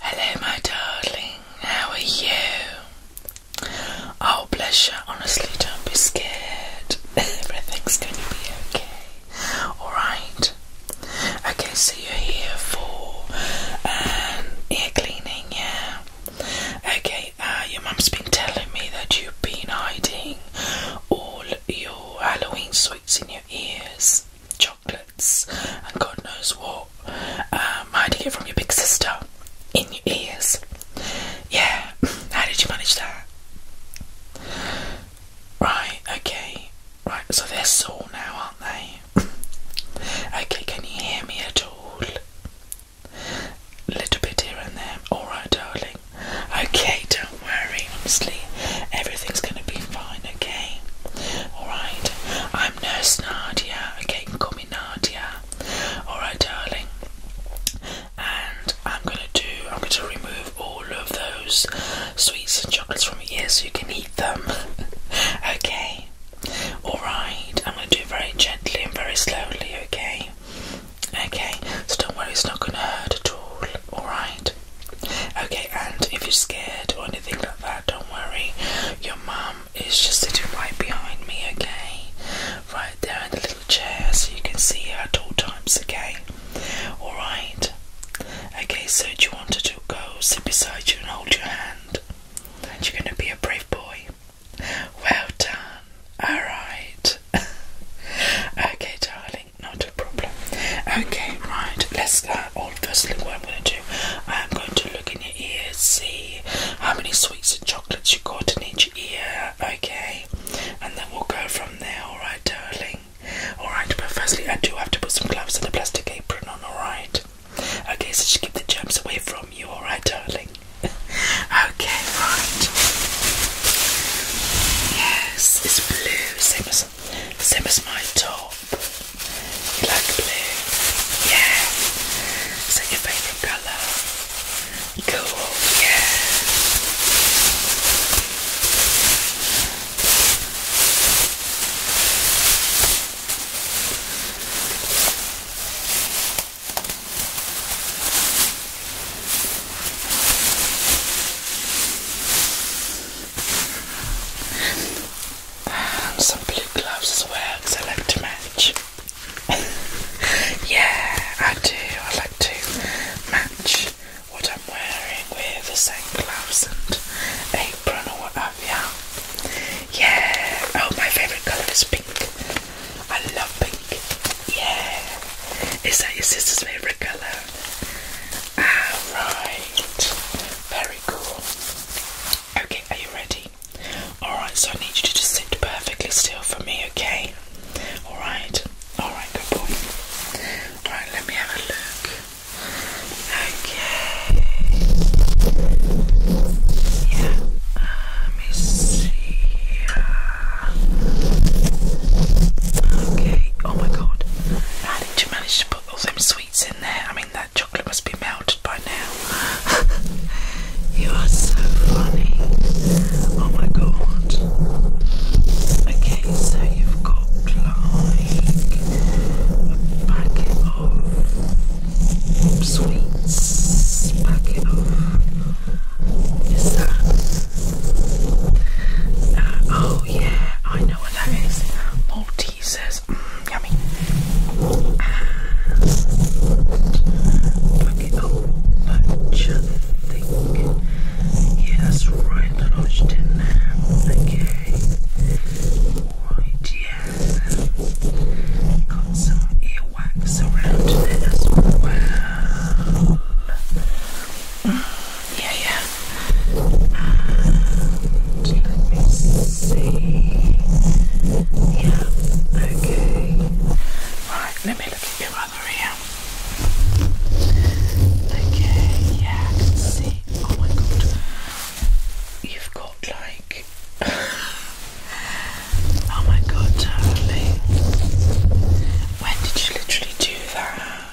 Hello, my darling. How are you? I'll oh, bless you. Honestly, don't be scared. Everything's going to be okay. Alright. Okay, so you're here for um, ear cleaning, yeah? Okay, uh, your mum's been telling me that you've been hiding all your Halloween sweets in your ears, chocolates, and God knows what, um, hiding it from your big sister in your ears. Yeah, how did you manage that? Right, okay, right, so they're sore now, aren't they? okay, can you hear me at all? Little bit here and there. Alright, darling. Okay, don't worry, honestly. Everything's gonna be fine, okay? Alright, I'm Nurse Nadia, okay? You can call me Alright, darling. And I'm gonna do, I'm going to remove all of those sweets and chocolates from your ears so you can eat them. okay? Alright, I'm gonna do it very gently and very slowly, okay? Okay, so don't worry, it's not gonna hurt at all, alright? Okay, and if you're scared or anything like that, don't worry. Your mum is just sitting right behind me, okay? Right there in the little chair so you can see her at all times, okay? Alright? Okay, so do you want her to go sit beside you and hold your hand? And you're going to be a brave boy. Well done. Alright. okay, darling thing, not a problem. Okay, right, let's go. Well, firstly, what I'm going to do, I'm going to look in your ears, see how many sweets and chocolates you have got in each ear, okay? And then we'll go from there, alright, darling? Alright, but firstly, I do have to put some gloves and a plastic apron on, alright? Okay, so just keep the germs away from you, alright, darling? okay, right. Yes, it's blue, same as, same as my top. You like blue? Yeah. Is that your favourite colour? Cool, yeah some blue gloves as well because I like to match. yeah, I do. I like to match what I'm wearing with the same gloves and apron or what have you. Yeah. Oh, my favourite colour is pink. I love pink. Yeah. Is that your sister's favourite colour? Alright, very cool. Okay, are you ready? Alright, so I need you to just sit perfectly still for me, okay? Alright, alright, good boy. Alright, let me have a look. Okay. Yeah, let me see. Okay, oh my god. How did you manage to put all them sweets in there? I mean, that chocolate must be melted by now. you are so funny. Oh my god. Okay, so you've got like a packet of sweets, packet of. Is uh, oh yeah, I know what that is. Maltesers, mm, yummy. Ah. Okay, oh, butcher thing. Yeah, that's right, lodged in Okay. Right, yeah. Got some earwax around there yeah, yeah. Uh, let me see. Yeah, okay. Right, let me look at your other ear. Okay, yeah, I can see. Oh my god. You've got like. oh my god, darling. When did you literally do that?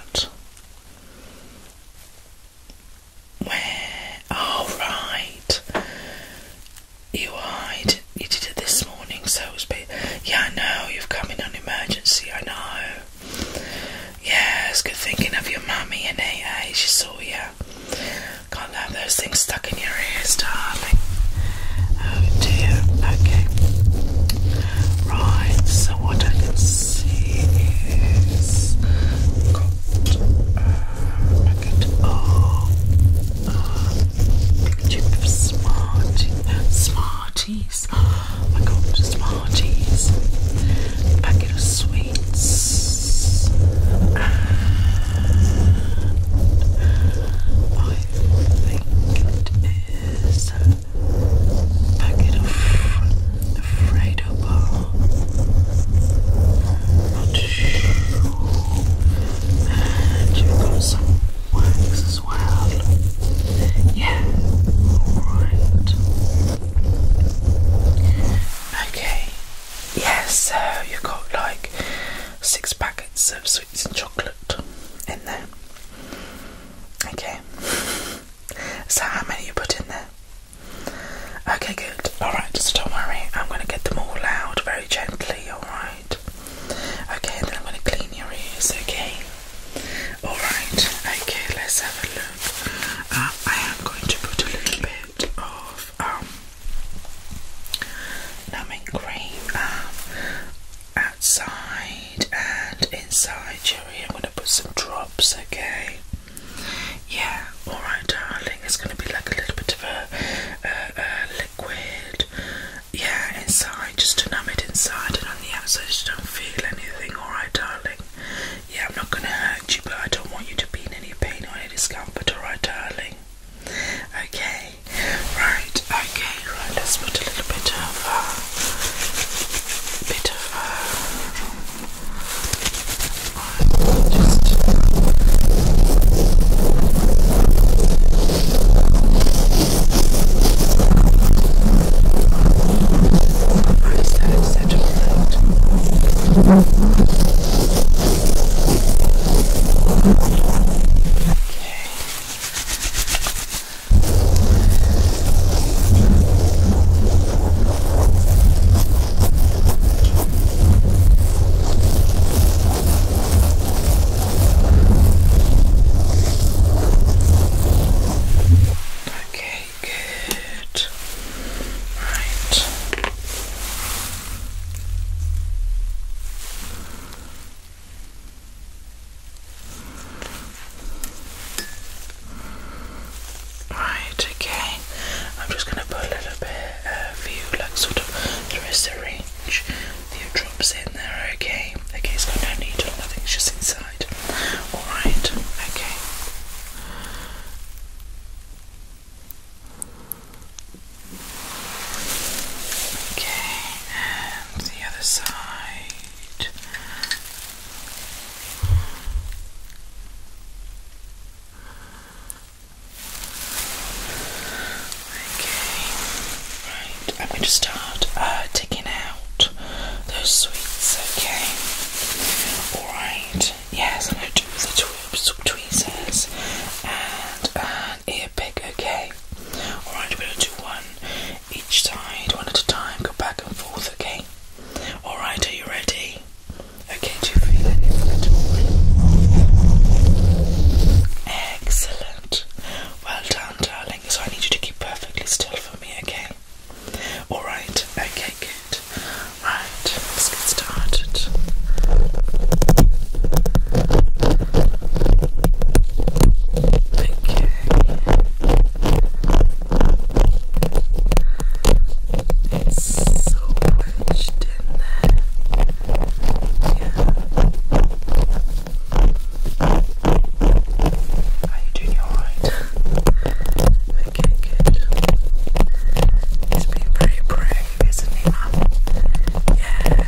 Where? Oh, You are. You did, you did it this morning, so it's been. Yeah, I know. You've come in on emergency, I know. Yes, good thinking of your mummy and AA. She saw you. Can't have those things stuck in your ears, darling. Oh dear. Okay. Right, so what I can see is got uh, a uh, uh, packet of uh, Smarties. Smarties. Oh my Smarties. packet of sweets. I think it is packet of Fredo bar. Not And you've got some wax as well. Yeah, alright. Okay, yeah, so you've got like six packets of sweets and chocolate in there. Okay. So how many you put in there? Okay, good. Alright, so don't worry. I'm going to get them all out very gently, alright? Okay, then I'm going to clean your ears, okay? Alright, okay, let's have a look. Uh, I am going to put a little bit of um, numbing cream um, outside and inside, Cherry. I'm gonna put some drops, okay? Yeah, alright, darling. It's gonna be like a little bit of a, a liquid, yeah, inside, just to numb it inside and on the outside, just don't feel anything, alright, darling. Yeah, I'm not gonna hurt you, but I don't want you to be in any pain or any discomfort, alright, darling. Okay, right, okay, right, let's put a little bit of uh, bit of uh, just press uh, that Okay. Okay, good. Right. Right, okay. I'm just gonna put a little bit of you, like sort of through a syringe, few drops in there, okay? Okay, it's got no needle, nothing's just inside. Alright, okay. Okay, and the other side. Okay, right. I'm going to start uh, taking out those sweets, okay? Alright, yes, I'm going to do the tweezers and an ear pick, okay? Alright, I'm going to do one each side, one at a time, go back and forth, okay? Alright, are you ready? Okay, do you feel anything at all? Excellent. Well done, darling. So I need you to keep perfectly still for me, okay? Alright, okay, good. Right, let's get started. Okay. It's so wedged in there. Yeah. Are you doing alright? okay, good. He's being pretty brave, isn't he, Mum? Yeah.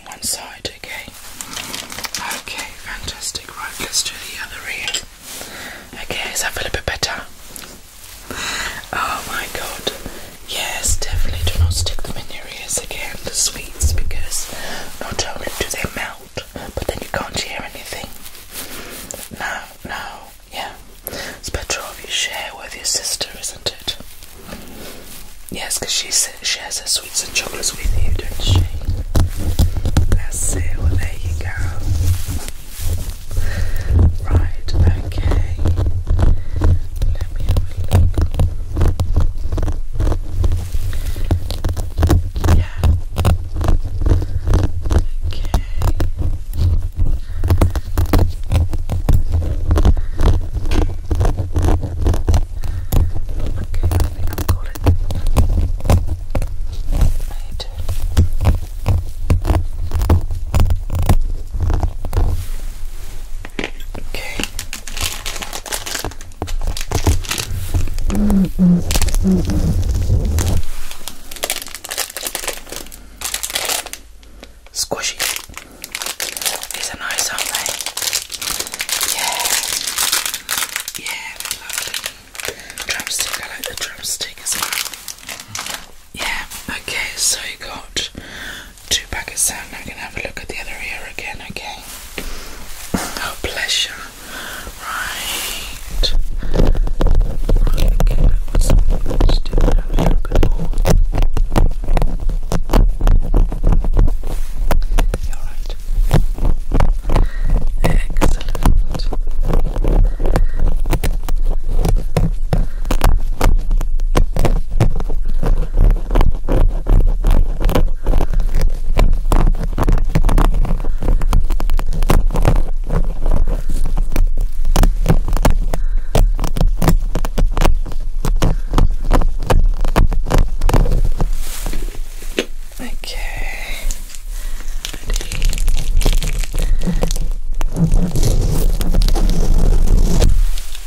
one side, okay? Okay, fantastic. Right, let's do the other ear. Okay, does that feel a bit better? Oh my god. Yes, definitely do not stick them in your ears again, the sweets, because not only do they melt, but then you can't hear anything. No, no, yeah. It's better off you share with your sister, isn't it? Yes, because she has her sweets and chocolates with you, don't she? That's it, well, there you go. Right, okay. Yeah. Okay. Okay, I think I've got it. I Okay. Squishy. These are nice, aren't they? Yeah. Yeah, they're the drumstick as Yeah, okay, so you got two packets Now we're going to have a look at the other ear again, okay? Oh, pleasure. Right. right okay, that was just didn't have here you Excellent. Okay.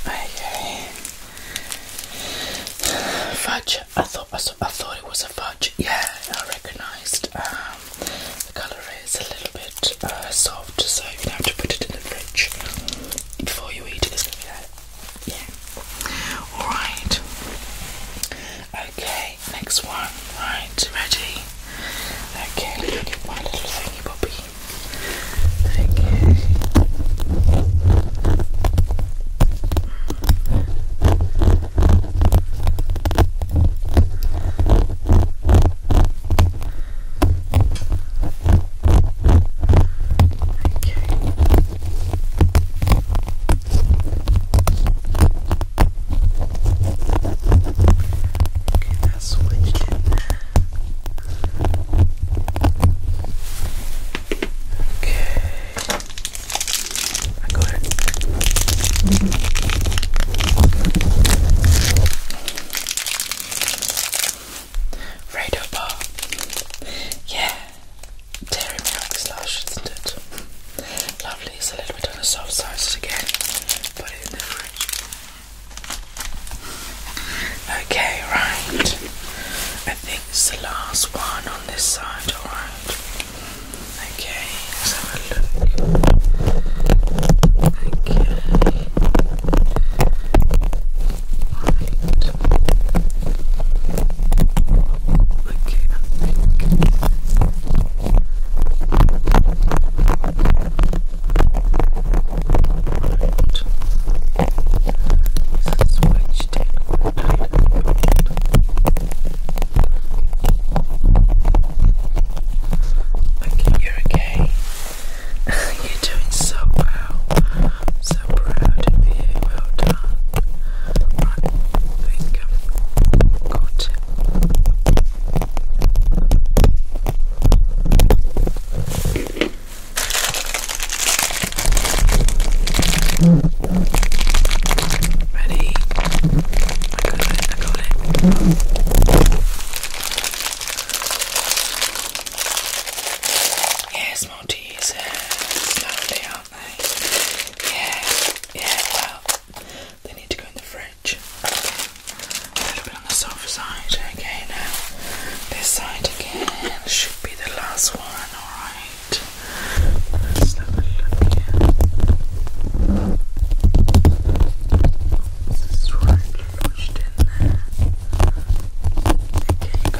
Ready. Okay. Fudge. I thought I, thought it was a fudge. Yeah, I recognised. Um, the colour is a little bit uh, soft, so you have to put it in the fridge before you eat it. Yeah. Alright. Okay, next one. Right, ready? Okay, look at my little thingy bobby. Okay. Okay. Okay, now switched it. Okay. I got it. Mm -hmm. Radar Yeah. Dairy milk slush, isn't it? Lovely. It's a little bit on the soft side again. Put it in the fridge. Okay, right. I think it's the last one on this side, alright. Okay, let's have a look. Okay. Okay, I think. This is wedged in quite tight at the moment. Okay, you're okay. you're doing so well. I'm so proud of you. Well done. I think I've got Ready? Yes, these Maltesers, lovely, aren't they? Yeah, yeah, well, they need to go in the fridge. A little bit on the soft side, okay, now this side again should be the last one, alright? Let's have a look here. This is right lodged in there. Okay,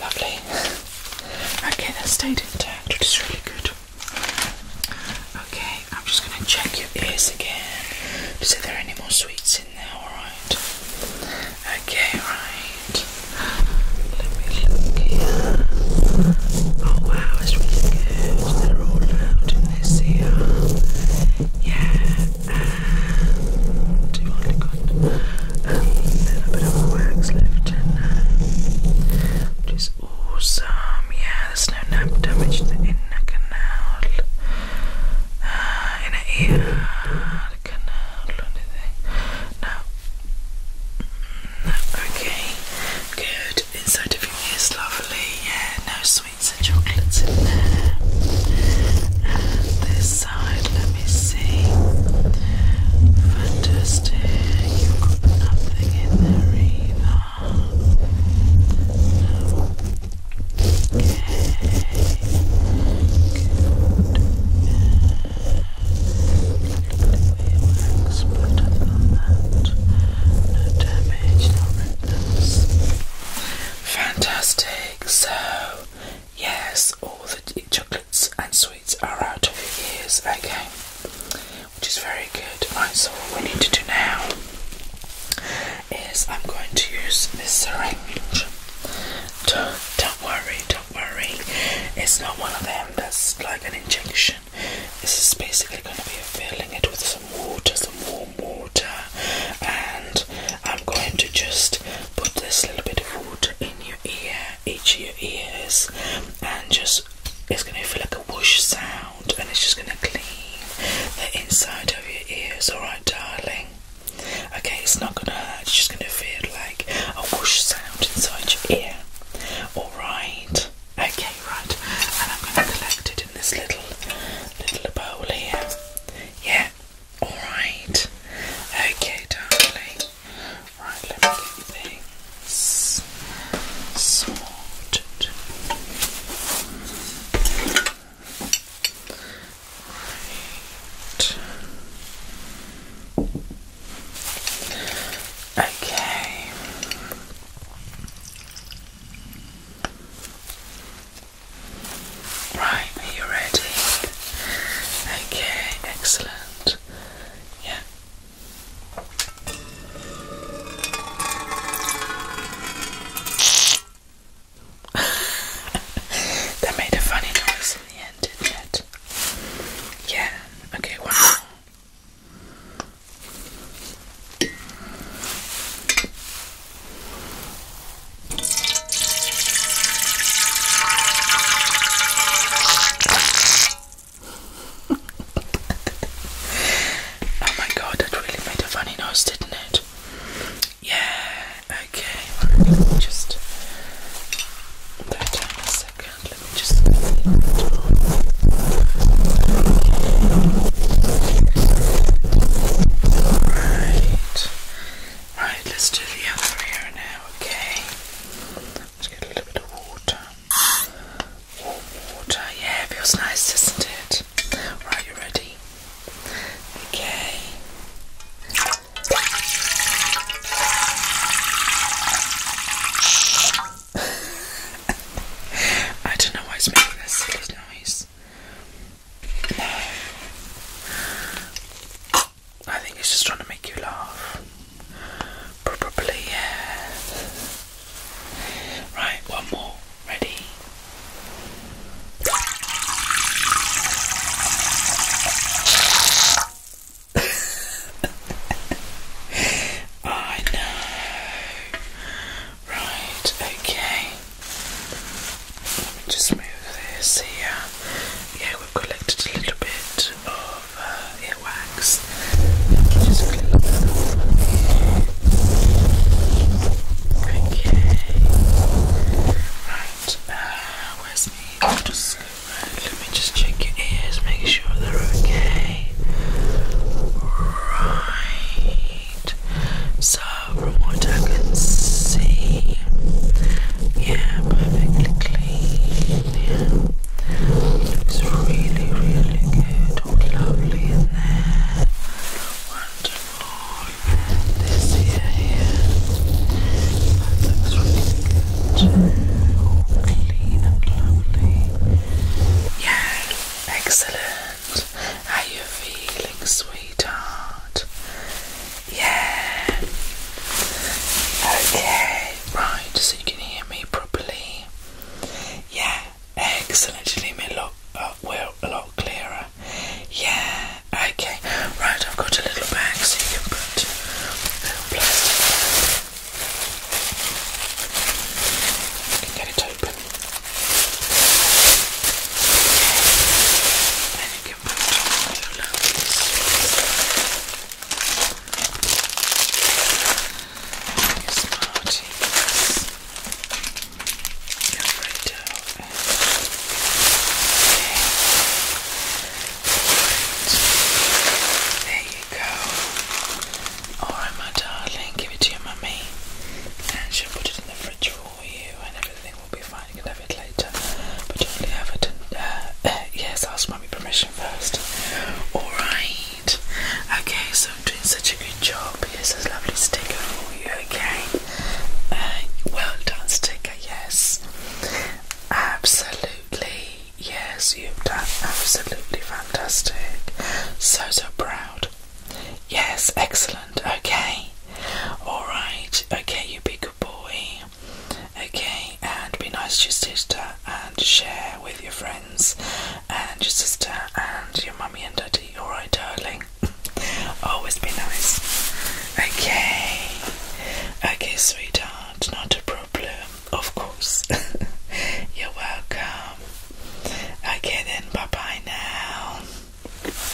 Lovely. okay, that stayed intact, which is really good. Okay, I'm just going to check your ears again to see if there are any more sweets in there, alright? Okay, right. Let me look here. Oh wow, it's really good. They're all loud in this ear. Yeah, and do all um, a little bit of wax left which is awesome. Yeah, there's no nap damage to the canal, uh, inner ear, the canal, anything. Mm, no. Okay, good. Inside of your lovely. Yeah, no sweets and chocolates in there. And this let me see. Fantastic. you got nothing in there either. No. Okay. Good. Wax, but that. No damage, no ripples. Fantastic. So Yes, all the chocolates and sweets are out of your ears, which is very good. Right, so what we need to do now is I'm going to use this syringe. don't worry, don't worry, it's not one of them that's like an injection. This is basically going to be filling it with some water, some warm water, and I'm going to just put this little bit of wood in your ear, each of your ears, and just it's going to feel like a whoosh sound, and it's just going to clean the inside of your ears, alright, darling? Okay, it's not going to hurt, it's just going to feel like a whoosh sound inside your ear, alright? Okay, right, and I'm going to collect it in this little, little bowl here. Yeah, Alright. Okay, darling. Right, let me get things sorted. Okay. Right, are you ready? Okay, excellent. Yeah. that made a funny noise in the end, didn't it? Yeah, okay, one more oh my god, that really made a funny noise, didn't it? Yeah, okay, let me just that a second, let me just Alright. Right, let's do the other ear now, okay? Let's get a little bit of water. Warm water, yeah, feels nice, doesn't it? Right, you ready? Okay. I don't know why it's making this little noise. No. I think he's just trying to make you laugh. Probably, yeah. Right, one more. Ready? I know. Right, okay. Let me Just move this here. Yeah, we've collected a little bit of uh, earwax. Just clip that off. Okay. Right. Uh, where's me? let me just check your ears, make sure they're okay. Right. So from what I can see. Yeah, perfectly clean. Looks really, really good. All lovely in there. Wonderful. This here, looks really good. All clean and lovely. Yeah, excellent. How you feeling, sweetheart? Yeah. Okay. Right, so you can hear me properly. Yeah. Excellent. You leave me a lot, uh, well, a lot clearer. Yeah. Okay. Right, I've got a little bag so you can put a little plastic. can get it open you can put on your lovely Smarties. Alfredo and okay. There you go. Alright my darling, give it to your mummy and she'll put it in the fridge all you and everything will be fine. You can have it later, but you only uh, uh, yes, ask mummy permission first. All right. Okay, so I'm doing such a good job. Yes, a lovely sticker for you. Okay. Uh, well done, sticker. Yes. Absolutely. Yes, you've done absolutely fantastic. So so proud. Yes, excellent. Okay. Alright. Okay, you be good boy. Okay, and be nice to your sister and share with your friends and your sister and your mummy and daddy. Alright, darling. Always be nice. Okay. Okay, sweetheart, not a problem. Of course. You're welcome. I Okay, then, bye bye now.